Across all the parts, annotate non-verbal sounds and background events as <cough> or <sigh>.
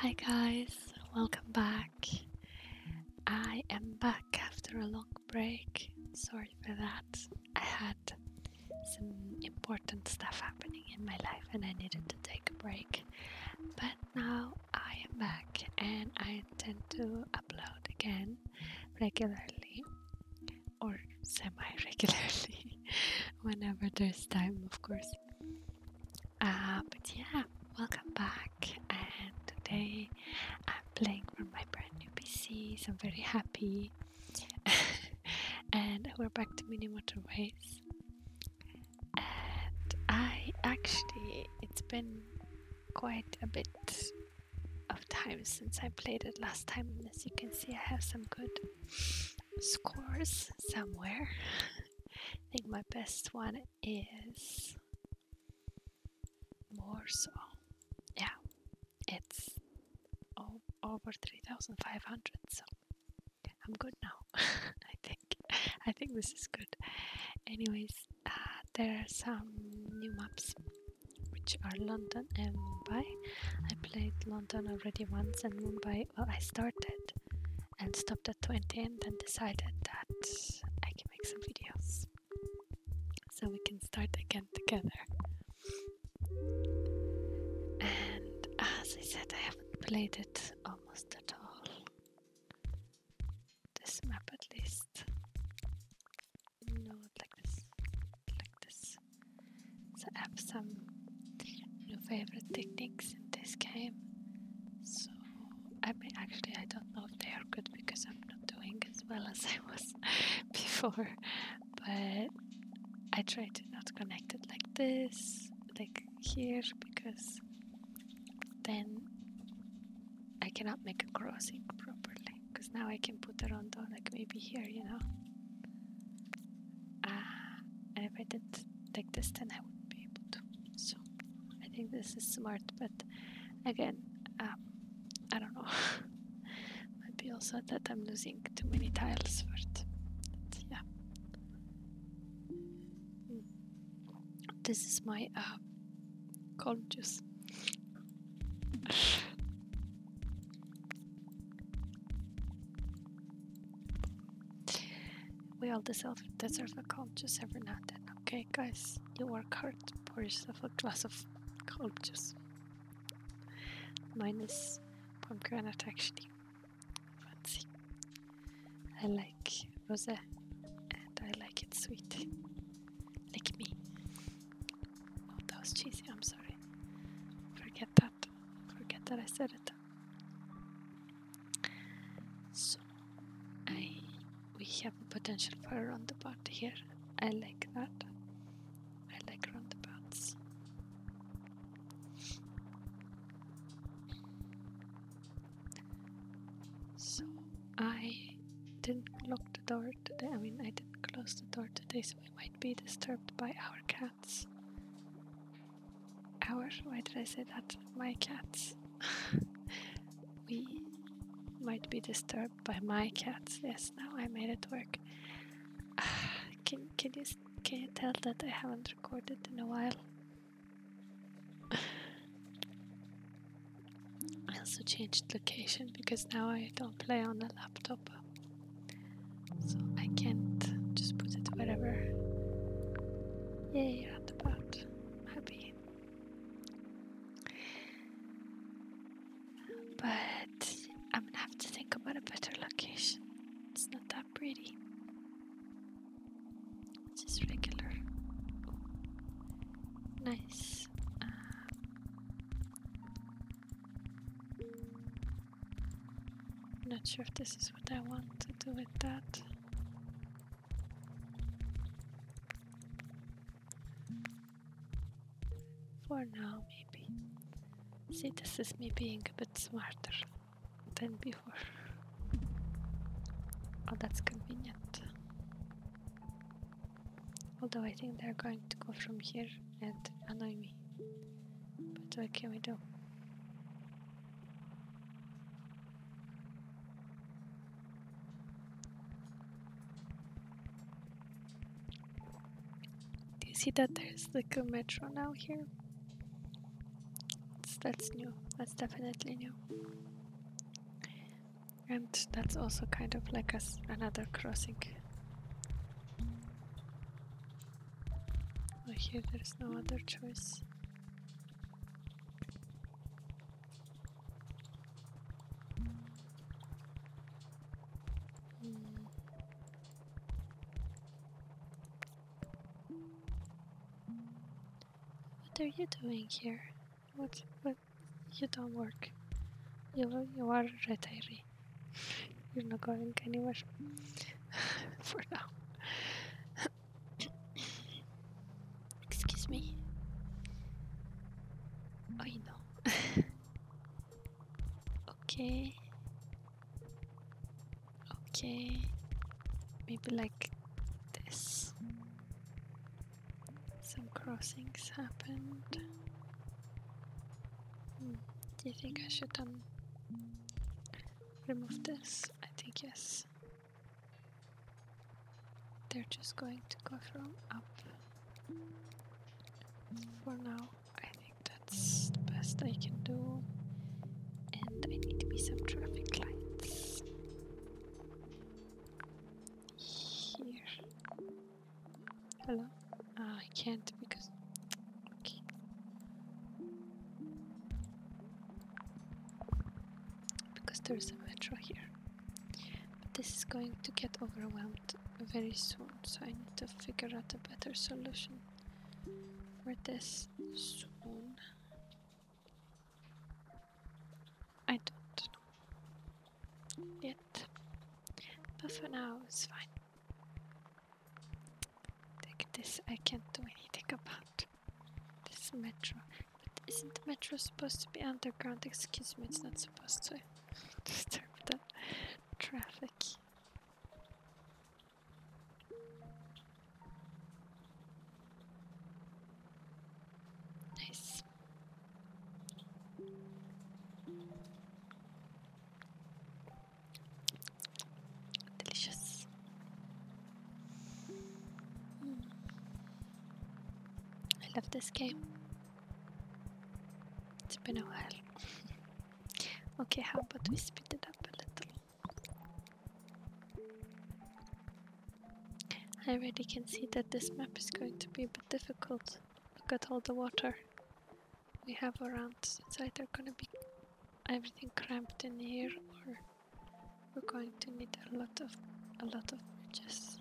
Hi guys, welcome back. I am back after a long break. Sorry for that. I had some important stuff happening in my life and I needed to take a break. But now I am back and I intend to upload again regularly or semi regularly <laughs> whenever there's time, of course. Uh, but yeah, welcome back. And today I'm playing from my brand new PC, I'm very happy. <laughs> and we're back to mini motorways. And I actually, it's been quite a bit of time since I played it last time. And as you can see, I have some good scores somewhere. I think my best one is more so. Yeah, it's over 3,500, so I'm good now. <laughs> I think I think this is good. Anyways, uh, there are some new maps which are London and Mumbai. I played London already once and Mumbai. Well, I started and stopped at 20 and then decided that I can make some videos so we can start again together. And as I said, I haven't played it almost at all. This map at least. No, like this. Like this. So I have some your favorite techniques in this game. So, I mean, actually, I don't know if they are good because I'm not doing as well as I was <laughs> before, but I try to not connect it like this, like here, because then I cannot make a crossing properly. Because now I can put the rondo like maybe here, you know. Ah, and if I did Take this, then I would be able to. So I think this is smart, but again, um, I don't know. <laughs> Maybe also that I'm losing too many tiles for it. yeah. Mm. This is my uh, we all deserve, a cold just every now and then, okay, guys? You work hard, pour yourself a glass of cold juice. Mine is pomegranate, actually. Fancy. I like rosé, and I like it sweet. Like me. Oh, that was cheesy, I'm sorry. Forget that. Forget that I said it. So I we have a potential for a roundabout here. I like that. I like roundabouts. So I didn't lock the door today. I mean I didn't close the door today so we might be disturbed by our cats our why did I say that? My cats. <laughs> we might be disturbed by my cats. Yes, now I made it work. <sighs> can can you can you tell that I haven't recorded in a while? <laughs> I also changed location because now I don't play on a laptop. So I can't just put it wherever. Yay, at the pot. happy. But I'm gonna have to think about a better location. It's not that pretty. It's just regular. Nice. I'm not sure if this is what I want to do with that. For now, maybe. See, this is me being a bit smarter than before. Oh, that's convenient. Although I think they're going to go from here and annoy me. But what can we do? Do you see that there's like a metro now here? that's new. That's definitely new. And that's also kind of like a, another crossing. I hear there's no other choice. What are you doing here? What? What? You don't work. You you are retired. <laughs> You're not going anywhere. <laughs> for now. <coughs> Excuse me. Oh, you know. okay. Okay. Maybe like this. Some crossings happened. Hmm. Do you think I should um remove this? I think yes. They're just going to go from up. For now, I think that's the best I can do. And I need to be some traffic lights. Here. Hello? Ah, I can't because Okay. Because there is a metro here. But this is going to get overwhelmed very soon, so I need to figure out a better solution for this soon. I don't know yet, but for now it's fine. Like this, I can't do anything about this metro. But isn't the metro supposed to be underground? Excuse me, it's not supposed to <laughs> disturb the traffic. Nice. Delicious. I love this game. It's been a while. <laughs> okay, how about we speed it up a little? I already can see that this map is going to be a bit difficult. Look at all the water we have around. It's either gonna be everything cramped in here or we're going to need a lot of a lot of bridges.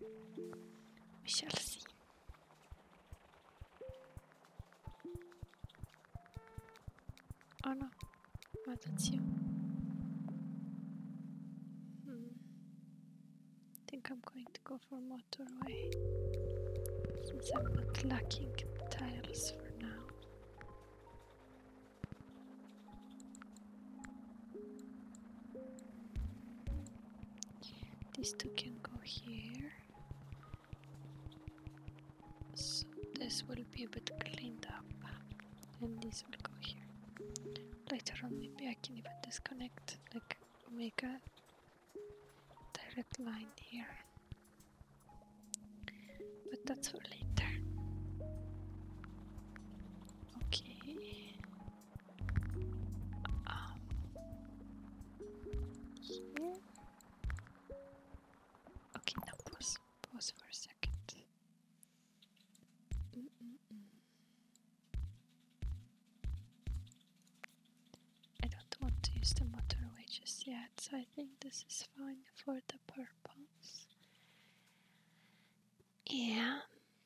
We shall see. Oh no, oh, that's hmm. I think I'm going to go for motorway since I'm not lacking tiles for now. These two can go here. So this will be a bit cleaned up. And this will go here. Later on maybe I can even disconnect, like make a direct line here. But that's for later. Okay. Um, okay, now pause. Pause for a second. Mm, mm, mm. I don't want to use the motorway just yet, so I think this is fine for the purpose. And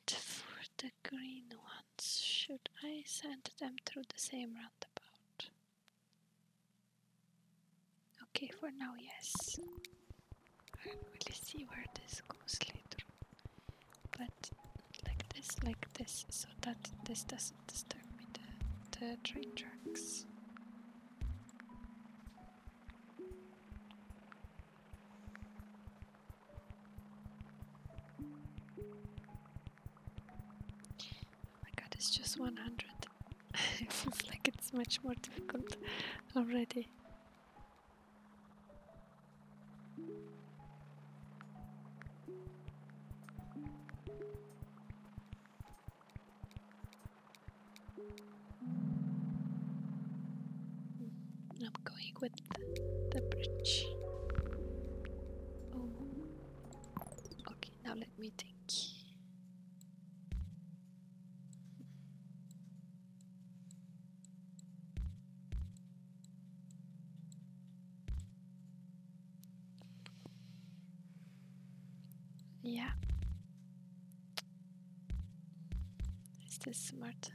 for the green ones, should I send them through the same roundabout? Okay, for now, yes. I will see where this goes later but like this, like this, so that this doesn't disturb me, the, the train tracks. Oh my god, it's just 100. <laughs> it feels like it's much more difficult already. I'm going with the bridge. Oh, okay, now let me think. Yeah. Is this smart?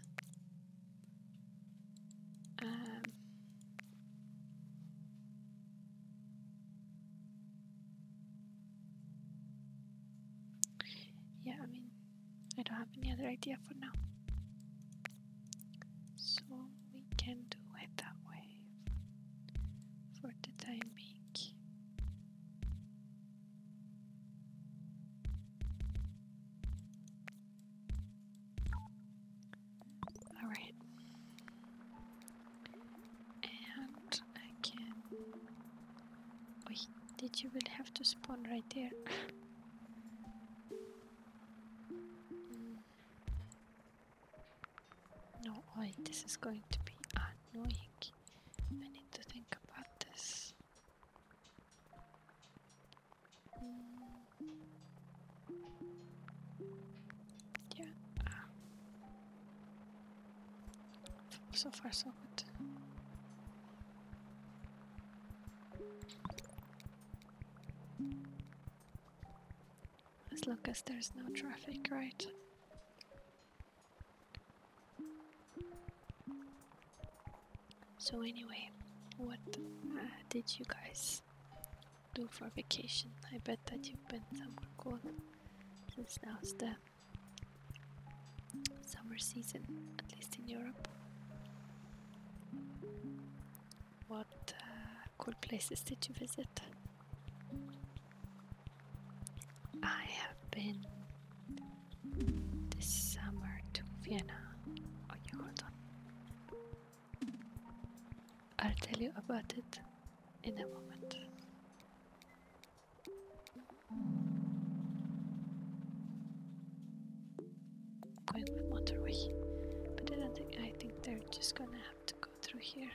Um. Yeah, I mean, I don't have any other idea for now. So we can do it that way for the time being. All right, and again, Wait, did you will have to spawn right there? <laughs> No, wait, this is going to be annoying. I need to think about this. Yeah. Ah. So far, so good. As long as there's no traffic, right? So anyway, what uh, did you guys do for vacation? I bet that you've been somewhere cool since now's the summer season, at least in Europe what uh, cool places did you visit? I have been this summer to Vienna. Oh, you hold on. I'll tell you about it in a moment going with motorway. But I don't think I think they're just gonna have to go through here.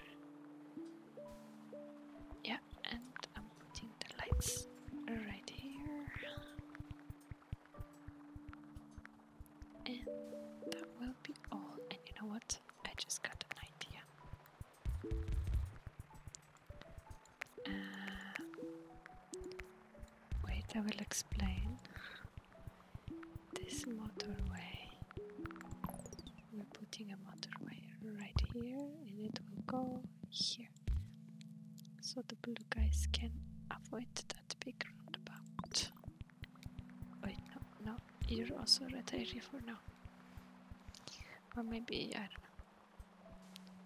Yeah, and I'm putting the lights right here. And that will be all. And you know what? I just got an idea. Uh, wait, I will explain this motorway. We're putting a motorway right here and it will go here. So the blue guys can avoid that big roundabout. Wait, no, no, you're also red area for now. Or maybe, I don't know.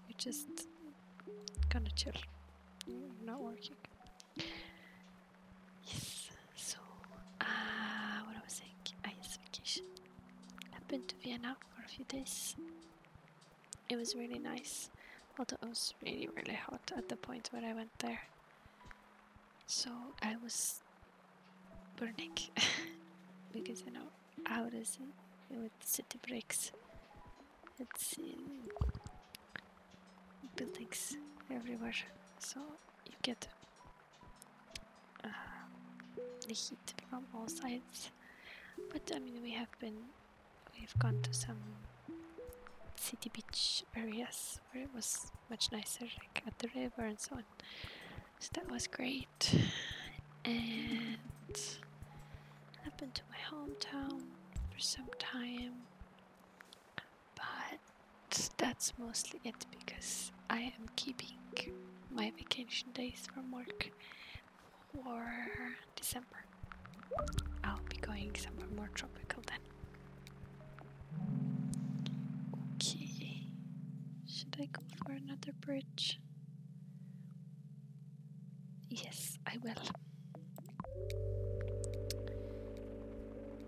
You're just gonna chill. not working. Yes, so uh, what I was saying, I ah, yes, vacation. I've been to Vienna for a few days. It was really nice, although it was really really hot at the point where I went there. So I was burning <laughs> because you know how does with city breaks Let's see. Buildings everywhere, so you get uh, the heat from all sides. But I mean, we have been, we've gone to some city beach areas where it was much nicer, like at the river and so on. So that was great. And I've been to my hometown for some time but that's mostly it because I am keeping my vacation days from work for December. I'll be going somewhere more tropical then. Okay, should I go for another bridge? Yes, I will.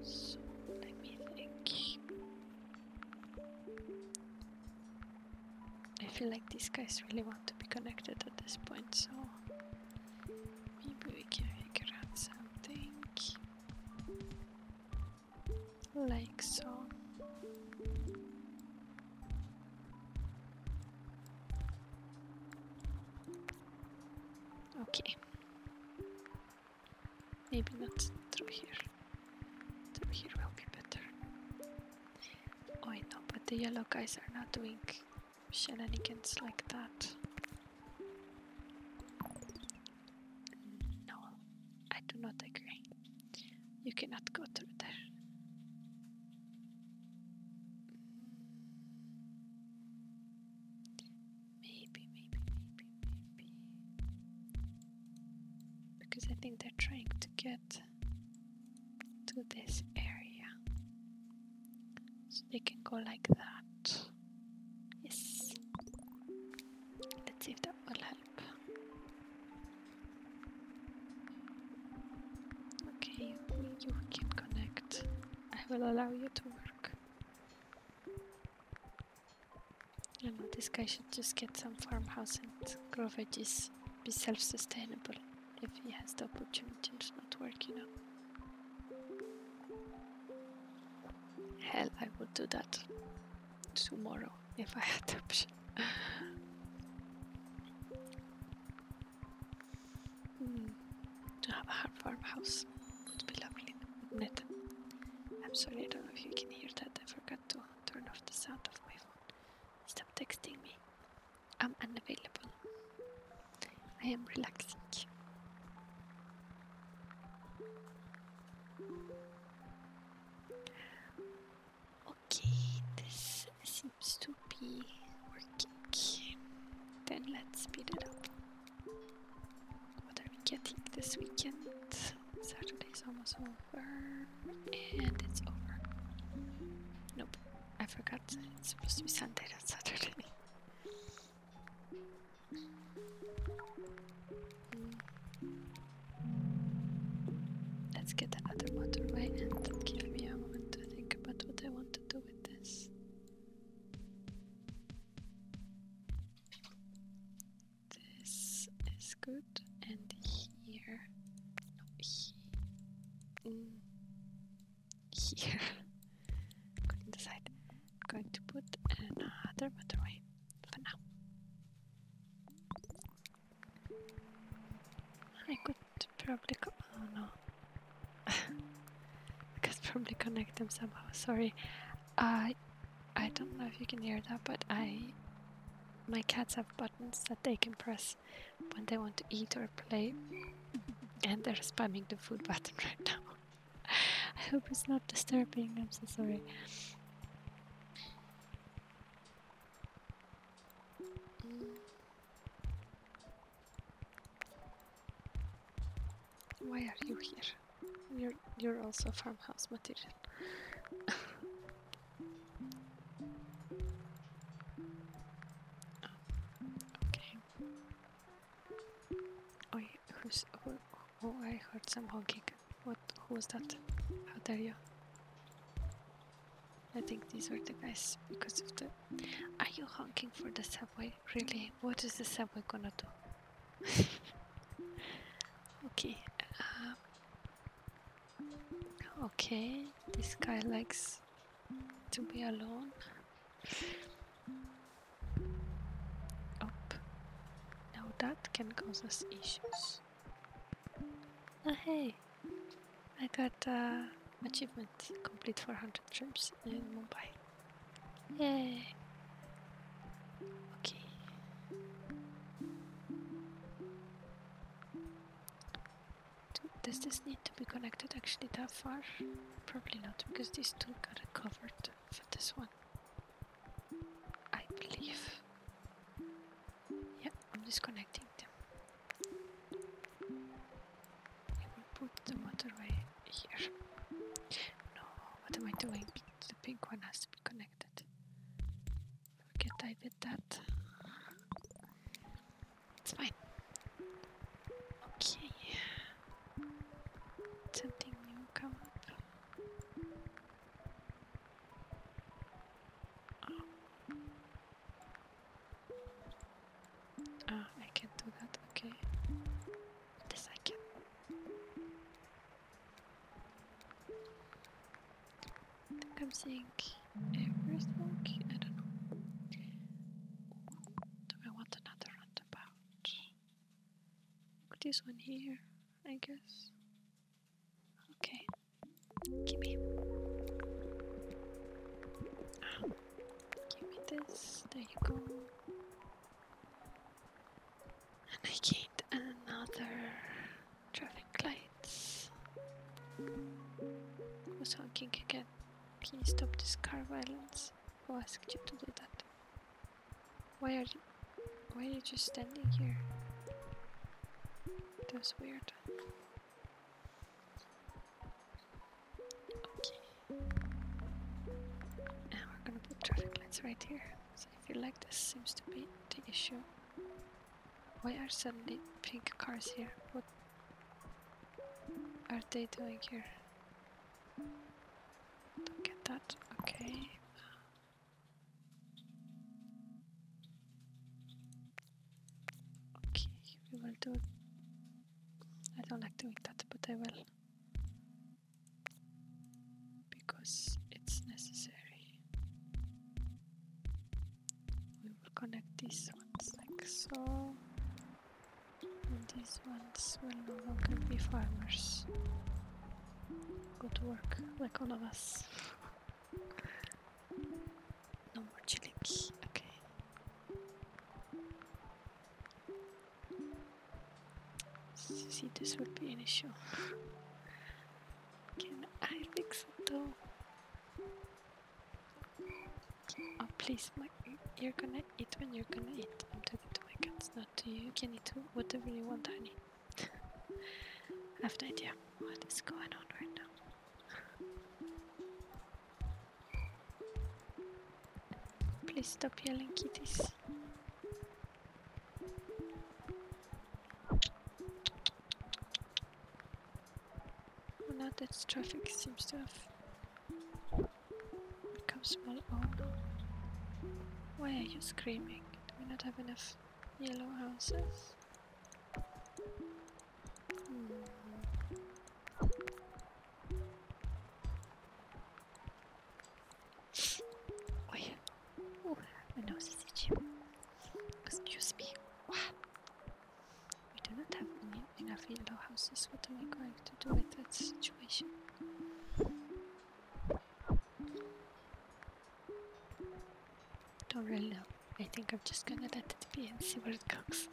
So let me think. I feel like these guys really want to be connected at this point, so maybe we can figure out something like so. Okay. Maybe not through here. Through here will be better. Oh, I know, but the yellow guys are not doing shenanigans like that. No, I do not agree. You cannot go through there. Maybe, maybe, maybe, maybe. Because I think they're trying to get to this area. So they can go like that. Yes. Let's see if that will help. Okay, you, can connect. I will allow you to work. You know, this guy should just get some farmhouse and grow veggies, be self-sustainable if he has the opportunity to not work, you know. Hell, I would do that tomorrow if I had the option. <laughs> Mm. to have a hard farmhouse would be lovely, would I'm sorry, I don't know if you can hear that. I forgot to turn off the sound of my phone. Stop texting me. I'm unavailable. I am relaxing. Okay, this seems to be working. Then let's speed it up. What are we getting this weekend? Saturday's almost over. And it's over. Nope, I forgot. It's supposed to be Sunday, not Saturday. Let's get another motorway and give me a moment to think about what I want to do with this. This is good, and here, no, he, mm, here, couldn't <laughs> decide. I'm going to put another motorway for now. I could probably go. Oh no. I <laughs> can probably connect them somehow, sorry. I uh, I don't know if you can hear that, but I my cats have buttons that they can press when they want to eat or play. And they're spamming the food <laughs> button right now. <laughs> I hope it's not disturbing, I'm so sorry. Why are you here? You're you're also farmhouse material. <laughs> Oh, okay. oh, I heard some honking. What? Who was that? How dare you? I think these were the guys because of the. Are you honking for the subway? really, what is the subway gonna do? <laughs> okay. Uh, okay, this guy likes to be alone. Up. Now that can cause us issues. Oh, hey, I got uh, achievement complete 400 trips in mm. Mumbai. Yay! Okay. Does this need to be connected actually that far? Probably not, because these two got it covered for this one. I believe. Yeah, I'm disconnecting them. I will put the motorway here. No, what am I doing? The pink one has to be connected. Forget I did that. It's fine. Okay. Something new come up. Ah, I can't do that, okay. This I can. I think I'm seeing a first I don't know. Do I want another roundabout? This one here, I guess. Okay, give me. Ah, Give me this. There you go. And I gained another traffic lights. Was honking again. Can you stop this car violence? Who asked you to do that? Why are you why are you just standing here? That was weird. Okay. Now we're gonna put traffic lights right here. So if you like this seems to be the issue. Why are suddenly pink cars here? What are they doing here? Don't that. Okay. Okay, we will do I don't like doing that, but I will. Because it's necessary. We will connect these ones like so. And these ones will no longer be farmers. Go to work, like all of us. <laughs> no more chilling. Okay. See, this would be an issue. Can I fix it though? Oh, please, you're gonna eat when you're gonna eat. I'm talking to my cats, not to you. You can eat whatever you want, honey. <laughs> I have no idea what is going on right now. Please stop yelling kitties. Well, oh, now that traffic seems to have become small. Oh no. Why are you screaming? Do we not have enough yellow houses? Ой, Ooh, my nose is itchy. Excuse me. We do not have enough yellow houses. What am I going to do with that situation? Don't really know. I think I'm just gonna let it be and see where it goes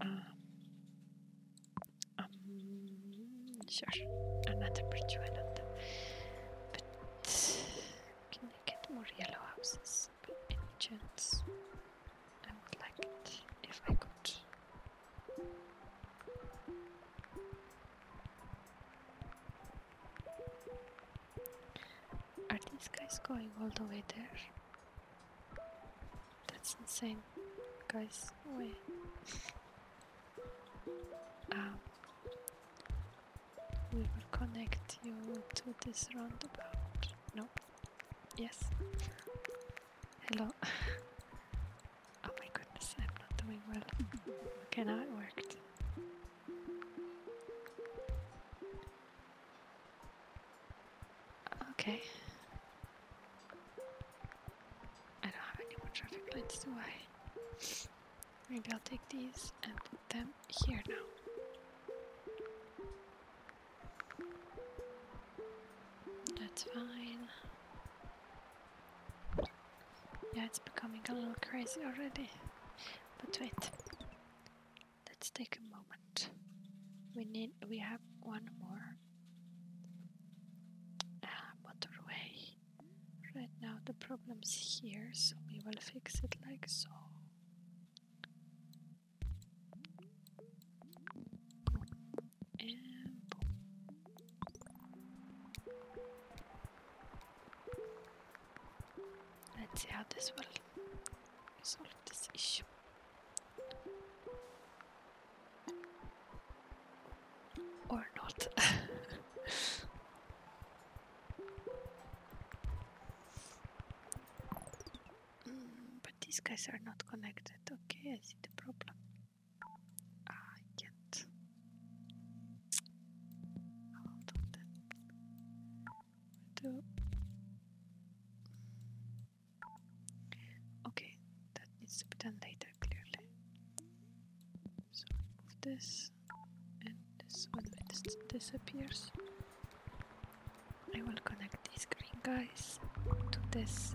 um, um, sure, I'm not a pretty one of them, but can I get more yellow houses by any chance? I would like it if I could. Are these guys going all the way there? That's insane, guys. Wait. Um, we will connect you to this roundabout. No. Yes. Hello. <laughs> oh my goodness, I'm not doing well. okay, now it worked. Okay. I don't have any more traffic lights, do I? Maybe I'll take these and put them here now. That's fine. Yeah, it's becoming a little crazy already. But wait. Let's take a moment. We need we have one more. Ah, motorway. Right now the problem's here, so we will fix it like so. Let's see how this will solve this issue. Or not. <laughs> Mm, but these guys are not connected. Okay, I see the problem. Ah, I can't. Hold on Okay, that needs to be done later clearly. So remove this and this when this disappears. I will connect these green guys to this.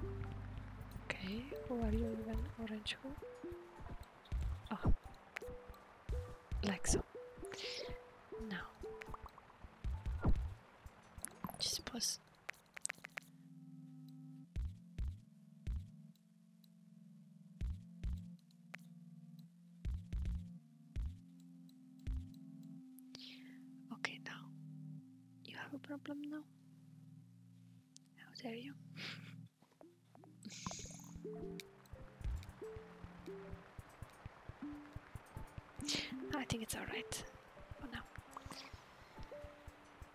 Okay, who are you even orange Oh ah like so. Now, just pause. Okay, now you have a problem now. How dare you? <laughs> I think it's alright for now.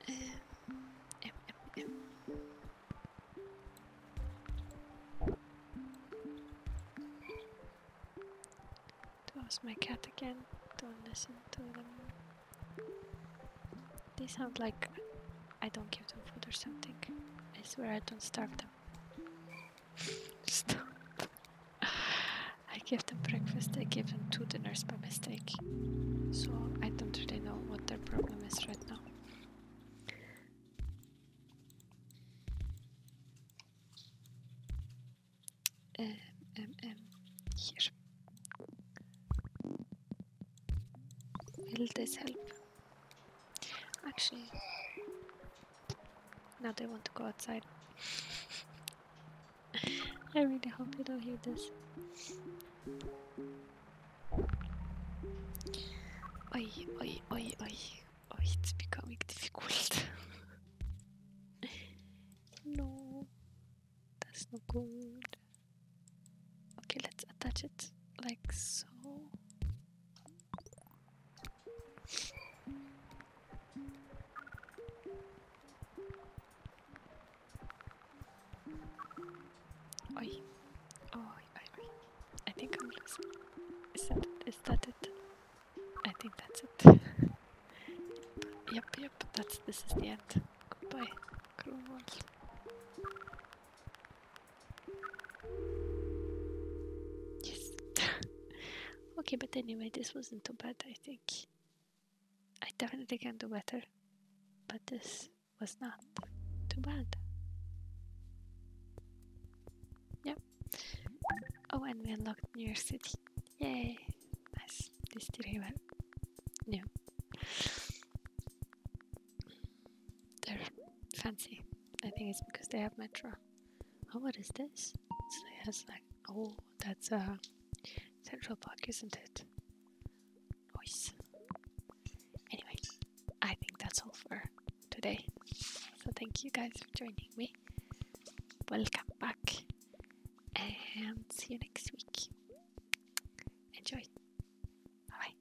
Uh, my cat again. Don't listen to them. They sound like I don't give them food or something. I swear I don't starve them. Stop. <laughs> I give them breakfast, I give them two dinners by mistake. So I don't really know what their problem is right now. Um, here. Will this help? Actually, now they want to go outside. <laughs> I really hope you don't hear this. Oi, oi, oi, oi. Oi, it's becoming difficult. <laughs> no, that's not good. Okay, let's attach it like so. Oi. Oi, oi, oi. I think I'm losing. Is that it? Is that it? I think that's it. <laughs> yep, yep, that's this is the end. Goodbye, Cromwell. Yes. <laughs> okay, but anyway, this wasn't too bad, I think. I definitely can do better, but this was not too bad. Yep. Oh, and we unlocked New York City. Yay! Nice. This still here. Yeah. They're fancy. I think it's because they have Metro. Oh, what is this? So it has like, oh, that's a uh, Central Park, isn't it? Nice. Anyway, I think that's all for today. So thank you guys for joining me. Welcome back. And see you next week. Enjoy. Bye.